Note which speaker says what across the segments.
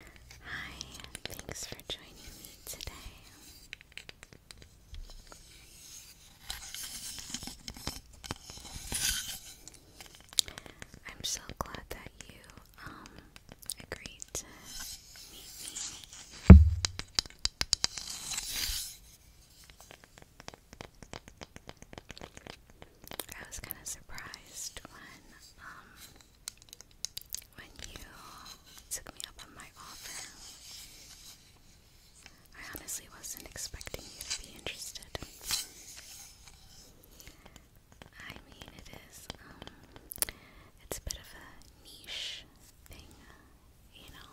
Speaker 1: Hi, thanks for joining me today. I'm so glad that you um agreed to meet me. I was kind of surprised when um, when you took me up on my offer. I honestly wasn't expecting you to be interested. I mean, it is, um, it's a bit of a niche thing, you know?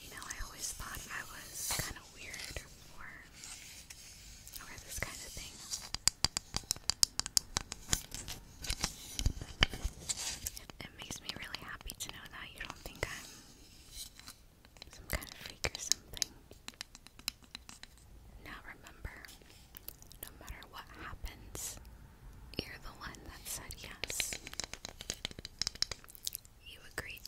Speaker 1: You know, I always thought I was kind of weird or it makes me really happy to know that you don't think I'm some kind of freak or something. Now remember, no matter what happens, you're the one that said yes. You agreed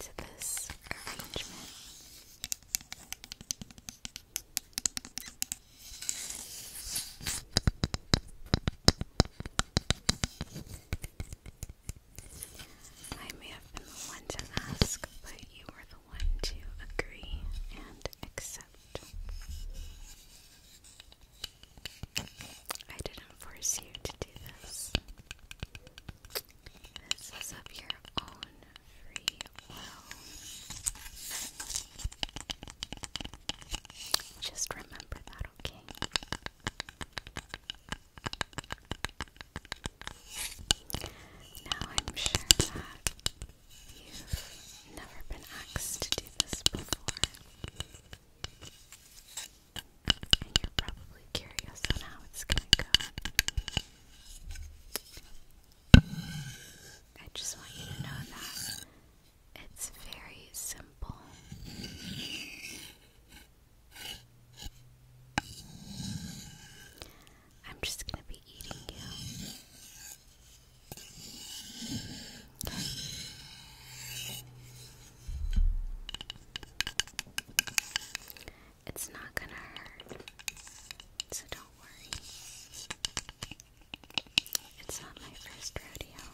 Speaker 1: to this arrangement. I may have been the one to ask, but you were the one to agree and accept. I didn't force you to do this. This is of your own free will. Just remember that, okay? Now I'm sure that you've never been asked to do this before you're probably curious on how it's going to go. I just want you to know that it's very simple. I'm just going to be eating you. It's not gonna hurt, so don't worry. It's not my first rodeo.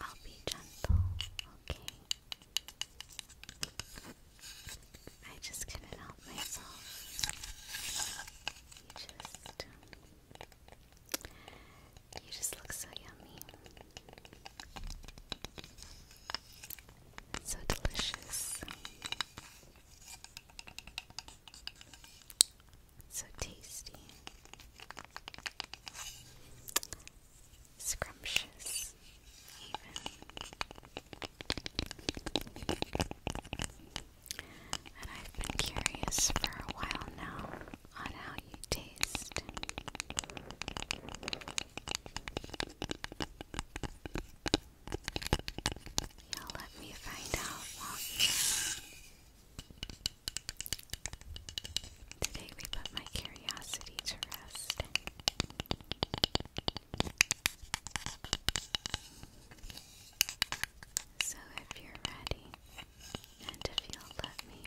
Speaker 1: I'll be gentle, okay? I just couldn't help myself. just. You just look so yummy. So delicious. So tasty. Scrumptious, and I've been curious for a while now on how you taste. let me find out, will you? Today we put my curiosity to rest. So if you're ready, and if you'll let me,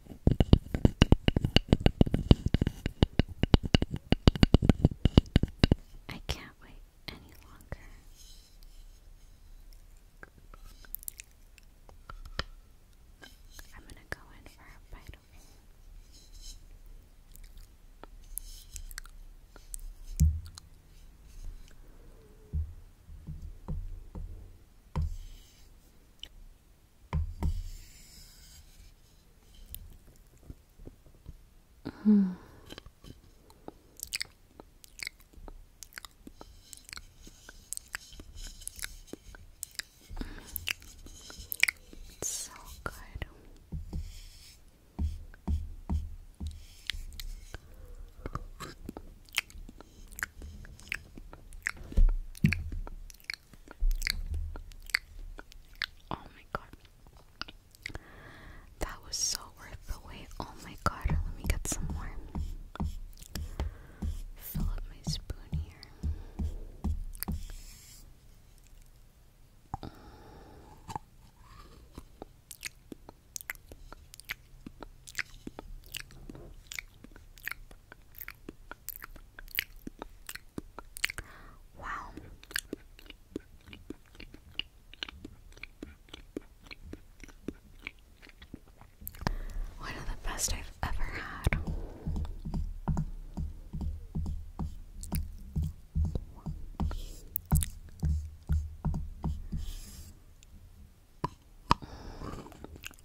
Speaker 1: I can't wait any longer. I'm going to go in for a bite Hmm. so good. Oh my god. That was so worth the wait. Oh my god. Let me get some more. Fill up my spoon here. Wow. One of the best I've ever had.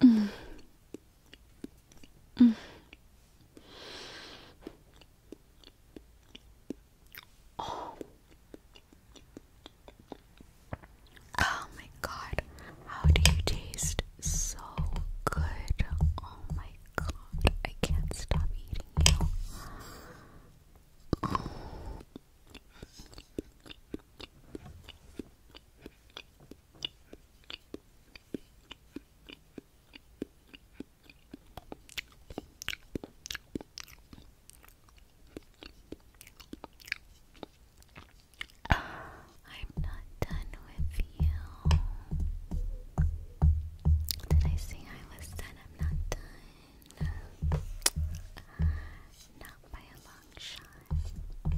Speaker 1: Mm. Oh. my god, how do you taste so good? Oh my god, I can't stop eating you. Oh. Uh, I'm not done with you. Did I say I was done? I'm not done. Uh, not by a long shot. That's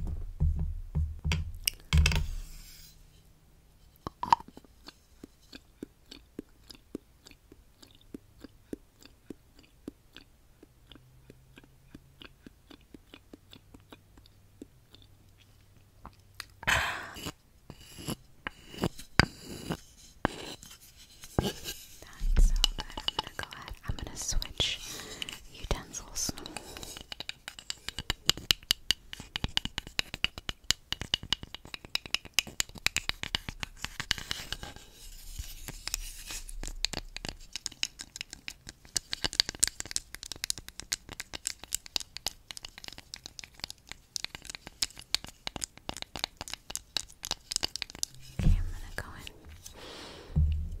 Speaker 1: so good. I'm gonna go ahead I'm going to switch utensils. Okay, I'm gonna go in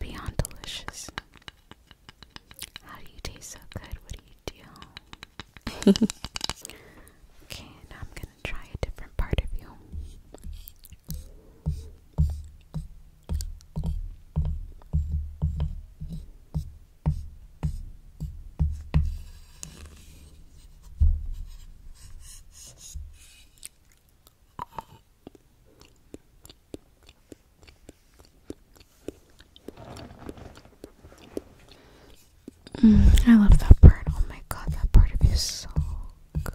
Speaker 1: Beyond delicious. How do you taste so good? What do you do? okay, now I'm gonna try a different part of you. Mm, I love that part. Oh my god, that part of you is so good.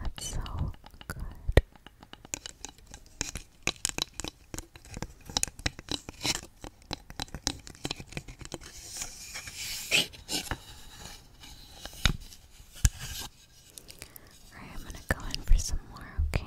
Speaker 1: That's so good. I'm gonna go in for some more, Okay.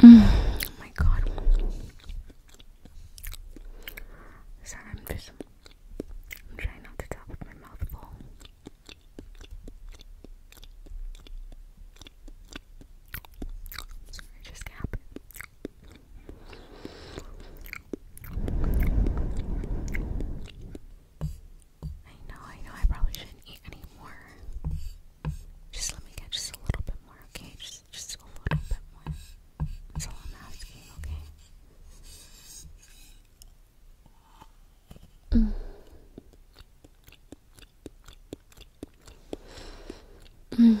Speaker 1: Oh my god. Sorry, I'm just I'm trying not to talk with my mouth full. Sorry, just happened. I know, I know, I probably shouldn't eat anymore. Just let me get just a little bit more, okay? Just, just a little bit more. That's all I'm asking, okay? Mm. Mm.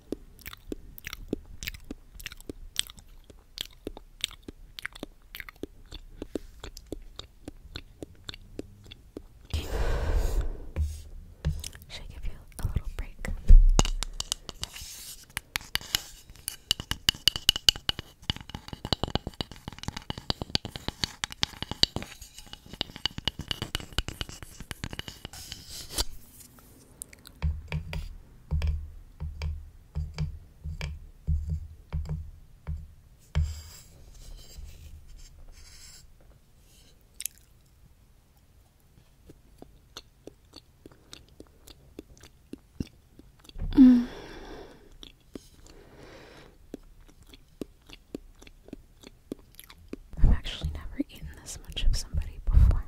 Speaker 1: Should I give you a little break? I've actually never eaten this much of somebody before.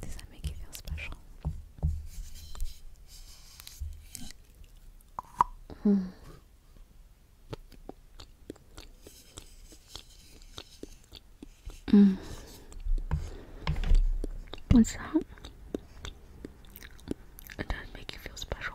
Speaker 1: Does that you feel special? Hmm. Mm. What's that? It does make you feel special.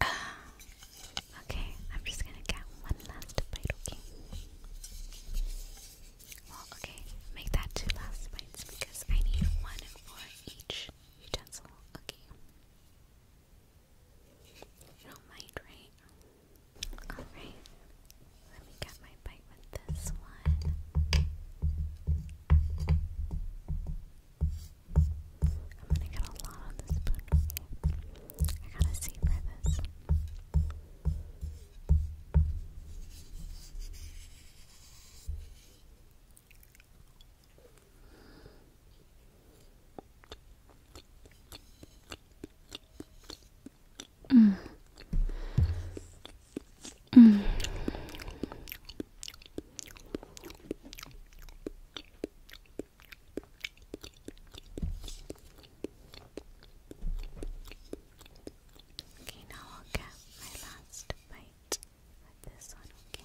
Speaker 1: Ah. okay, I'm just gonna get one last bite, okay? okay, make that two last bites because I need one for each utensil, okay? You don't mind, right? Alright, let me get my bite with this one. I'm gonna get a lot on this spoon. I gotta savor this. Mm. Mm. Okay, now I'll get my last bite with this one, okay?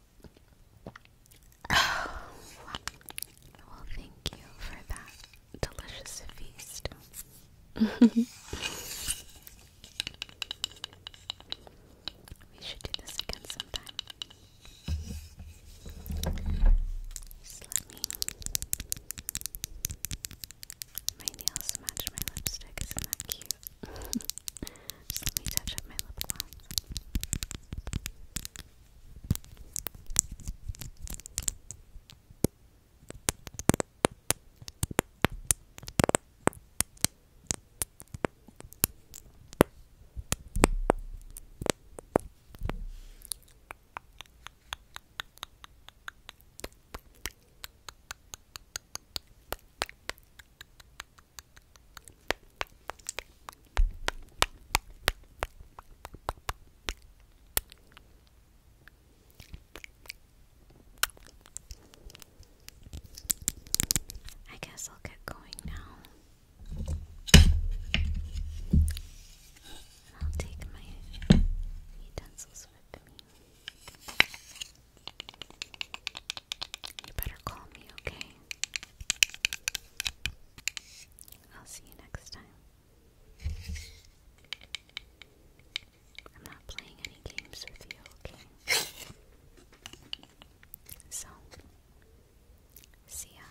Speaker 1: well, thank you for that delicious feast. we should do this again sometime. Just My nails match my lipstick, isn't cute? cute. Just let me touch up my lip gloss. I guess I'll get going now. I'll take my utensils with me. You better call me, okay? I'll see you next time. I'm not playing any games with you, okay? So, see ya.